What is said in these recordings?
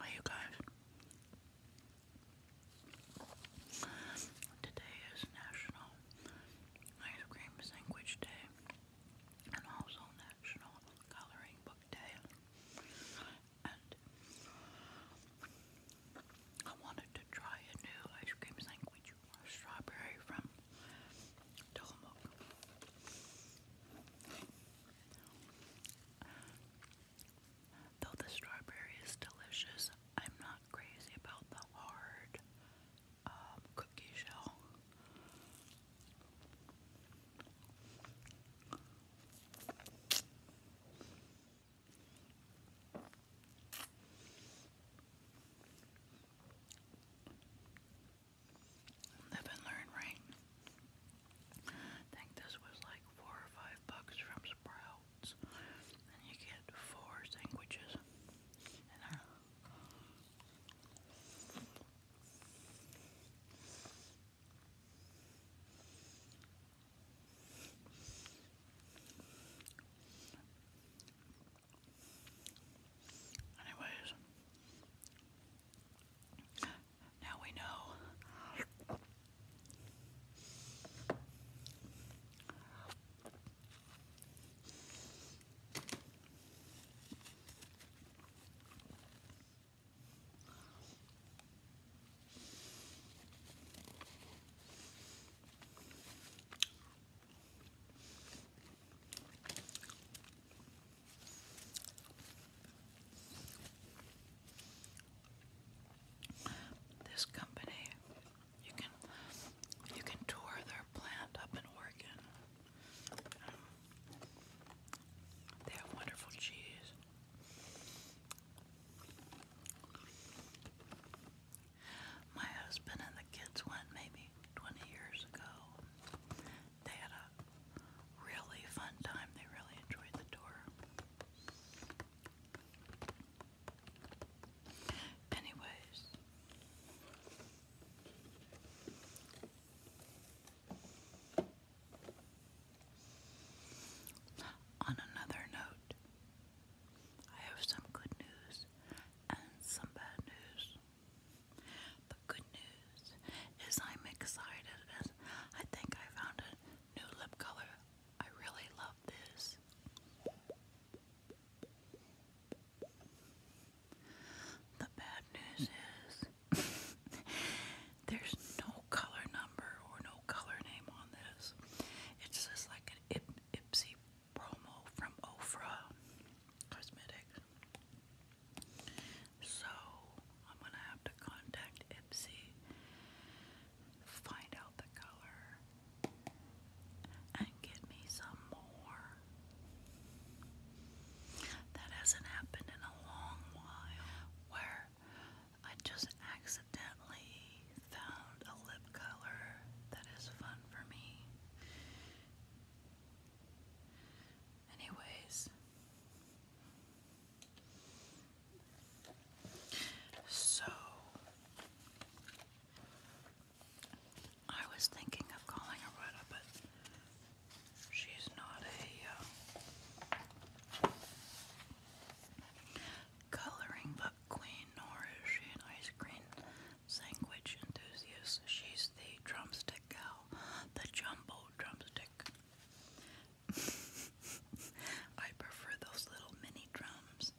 Hi you guys. Today is National Ice Cream Sandwich Day and also National Coloring Book Day. I wanted to try a new ice cream sandwich, strawberry from Tillamook. Though the strawberry is delicious, I'm not crazy about the hard um, cookie shell. Live and learn, right? I think this was like four or five bucks from Sprouts, and you get four sandwiches. Uh, Anyways, now we know. This company, you can you can tour their plant up in Oregon. they have wonderful cheese. My husband and the kids went maybe 20 years ago. They had a really fun time. They really enjoyed the tour. Anyways, on another note, I have some good news and some bad news. The good news is I'm excited as I think I found a new lip color. I really love this. The bad news is There's no color number or no color name on this. It's just like an Ip Ipsy promo from Ofra Cosmetics. So I'm gonna have to contact Ipsy, find out the color, and get me some more. That hasn't happened in a long while. Where I just accidentally found a lip color that is fun for me. Anyways, so I was thinking of calling Aretta, but She's not a uh, coloring book queen, nor is she an ice cream sandwich enthusiast. She's the drumstick gal, the jumbo drumstick. I prefer those little mini drums.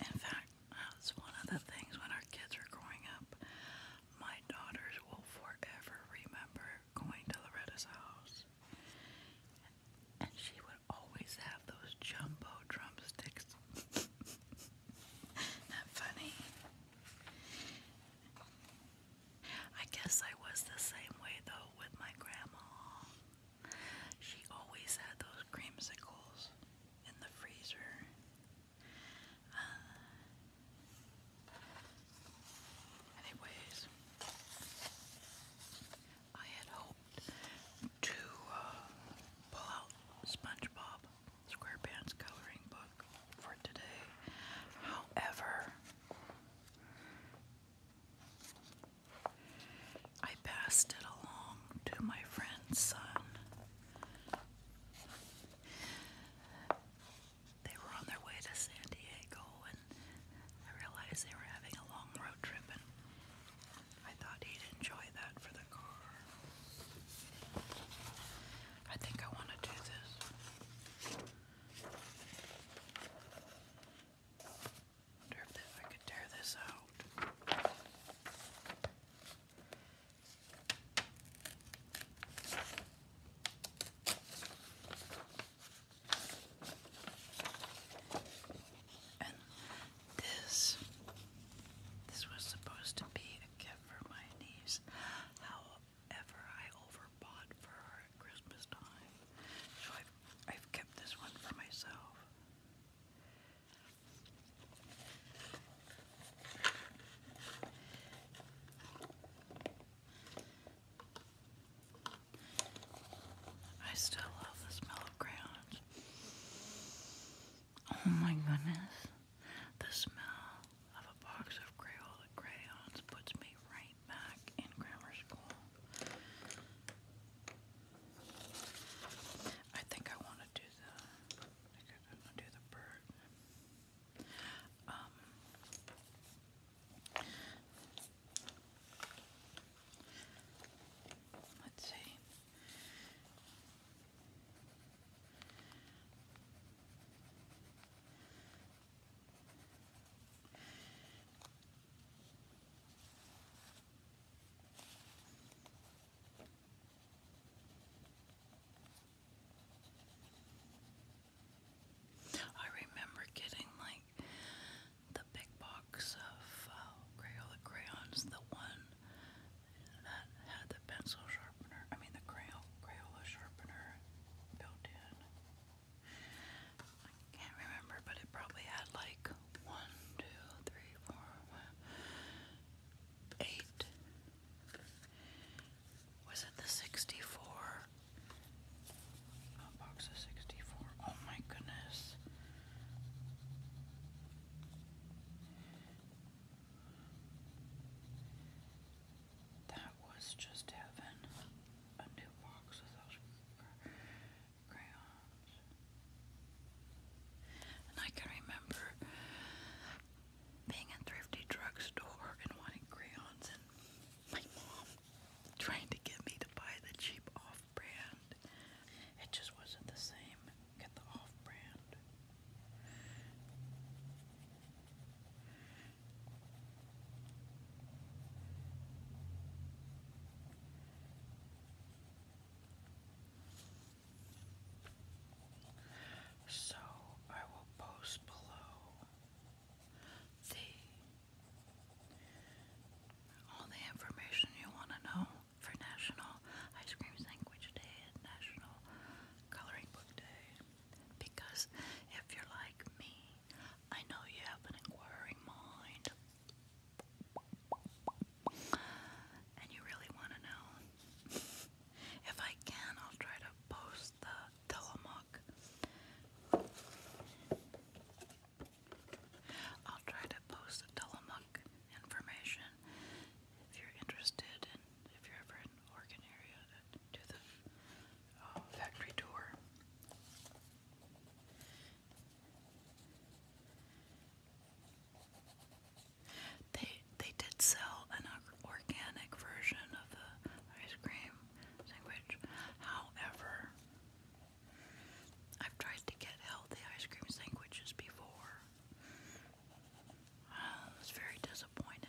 In fact, that's one of the things when our kids were growing up. My daughters will forever remember going to Loretta's house. And she would always have those jumbo drumsticks. Not funny. I guess I was the same way though with my grandma. She always had those creamsicles in the freezer. Uh, anyways, I had hoped to uh, pull out SpongeBob SquarePants coloring book for today. However, I passed it along to my friend son they were on their way to San Diego, and I realized they were having a long road trip, and I thought he'd enjoy that for the car. I think I want to do this. Wonder if I could tear this out this this was supposed to be a gift for my niece. However, I overbought for Christmas time. So I've I've kept this one for myself. I still love the smell of crayons. Oh my goodness. The smell of a box of Crayola crayons puts me right back in grammar school. I think I want to do the I think I want to do the bird. Um, let's see. I remember getting like the big box of uh, Crayola crayons, the one that had the pencil sharpener, I mean the Crayola, sharpener built in. can't remember, but it probably had like one, two, three, four, five, eight was it the 64? Oh, box of 64. Oh my goodness. That was just heaven. A new box of those crayons. And I can remember being a thrifty drugstore and wanting crayons and my mom trying to get me to buy the cheap off-brand. It just wasn't the same. Get the off-brand. So I will post below all the information you want to know for National Ice Cream Sandwich Day and National Coloring Book Day. Because if you're like me, I know you have an inquiring mind. And you really want to know. If I can, I'll try to post the Tillamook. I'll try to post the Tillamook information if you're interested and if you're ever in Oregon area to the uh, factory tour. They they did sell an organic version of the ice cream sandwich. However, I've tried to get healthy ice cream sandwiches before. I was very disappointed.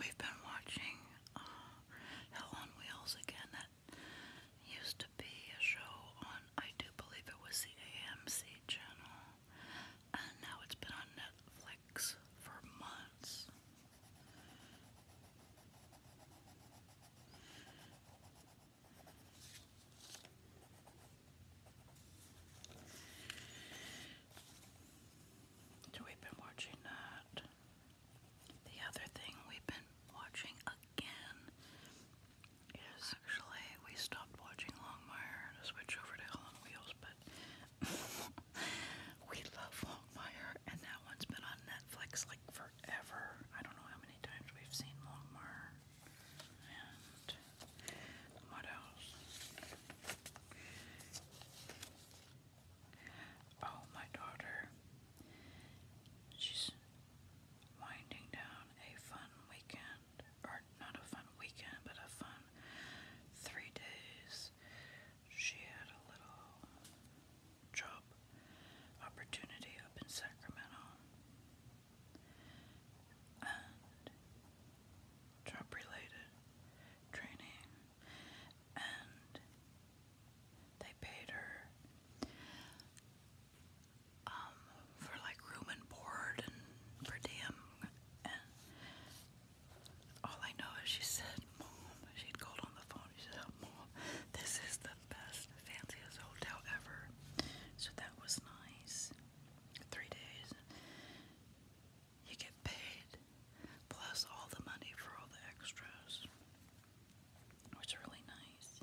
We've been watching uh, Hell on Wheels again. That used to be a show on, I do believe it was the AMC channel, and now it's been on Netflix legs for months. So we've been watching that. The other thing we've been watching again is actually we stopped watching Longmire to switch over to Helen Wheels, but we love Longmire, and that one's been on Netflix like forever. I don't know how many times we've seen Longmire. And what else? Oh, my daughter. She's winding down a fun weekend, or not a fun weekend, but a fun three days she had a little job opportunity up in Sacramento. And job related training, and they paid her um, for like room and board and per diem, and all I know is she said, Mom, she'd called on the phone. She said, oh, Mom, this is the best, fanciest hotel ever. So that was nice. Three days. You get paid, plus all the money for all the extras, which really nice.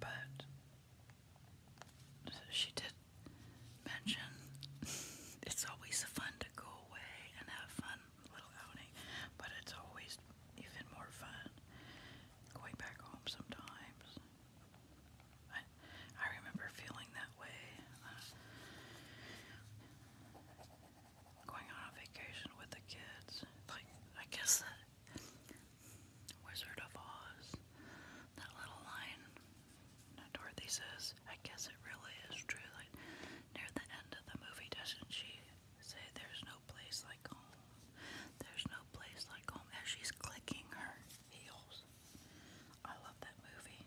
But she did mention it's always fun to go away and have fun little outing, but it's always even more fun going back home sometimes. I, I remember feeling that way uh, going on a vacation with the kids. Like I guess that Wizard of Oz. That little line that Dorothy says, I guess it really is true. Like near the end of the movie, doesn't she say, There's no place like home? There's no place like home. As she's clicking her heels. I love that movie.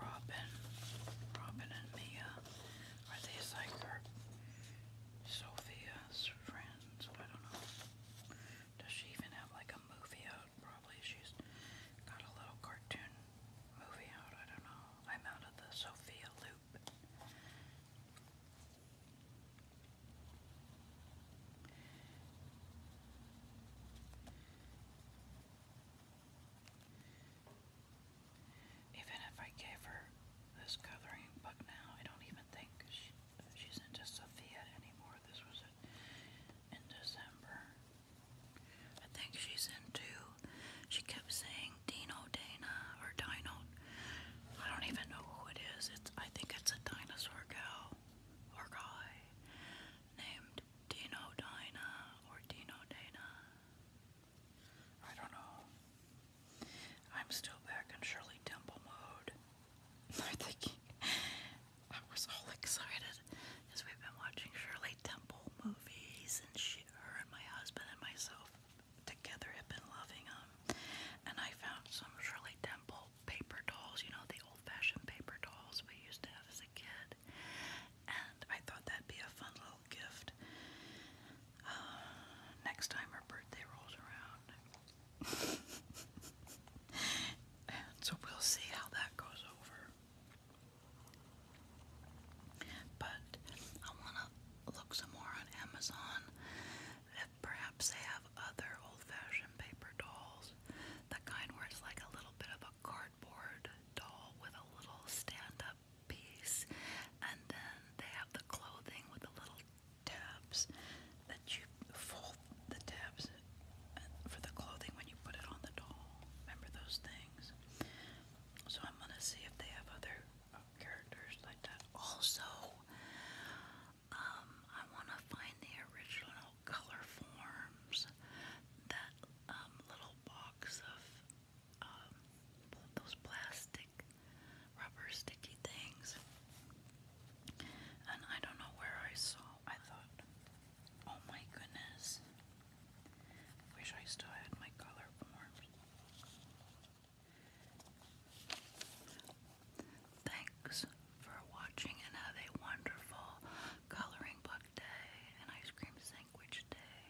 Robin, Robin and Mia, are these like her, Sophia's friends? I don't know. Does she even have like a movie episode, probably. She's got a little cartoon movie out. I don't know. I'm out of the Sophia loop. Even if I gave her this coloring book now, I don't even think she, she's into Sophia anymore. This was in December. I think she's into, she kept saying Dino Dana or Dino. I don't even know who it is. It's, I think it's a dinosaur gal or guy named Dino Dina or Dino Dana. I don't know. I'm still back in Shirley Temple mode. I think I was all excited because we've been watching Shirley Temple movies, and she, her, and my husband and myself together have been loving them. And I found some Shirley Temple paper dolls, you know, the old-fashioned paper dolls we used to have as a kid. And I thought that'd be a fun little gift. Uh, next time her birthday rolls around. so we'll see how that goes over. But I want to look some more on Amazon if perhaps they have other old fashioned paper dolls. The kind where it's like a little bit of a cardboard doll with a little stand up piece, and then they have the clothing with the little tabs that you fold the tabs for the clothing when you put it on the doll. Remember those things? So I'm gonna see if they have other uh, characters like that. Also, um, I wanna find the original color forms. That um, little box of um, those plastic rubber sticky things. And I don't know where I saw. I thought Oh my goodness. I wish I still had my color forms. Thanks for watching and have a wonderful coloring book day and ice cream sandwich day.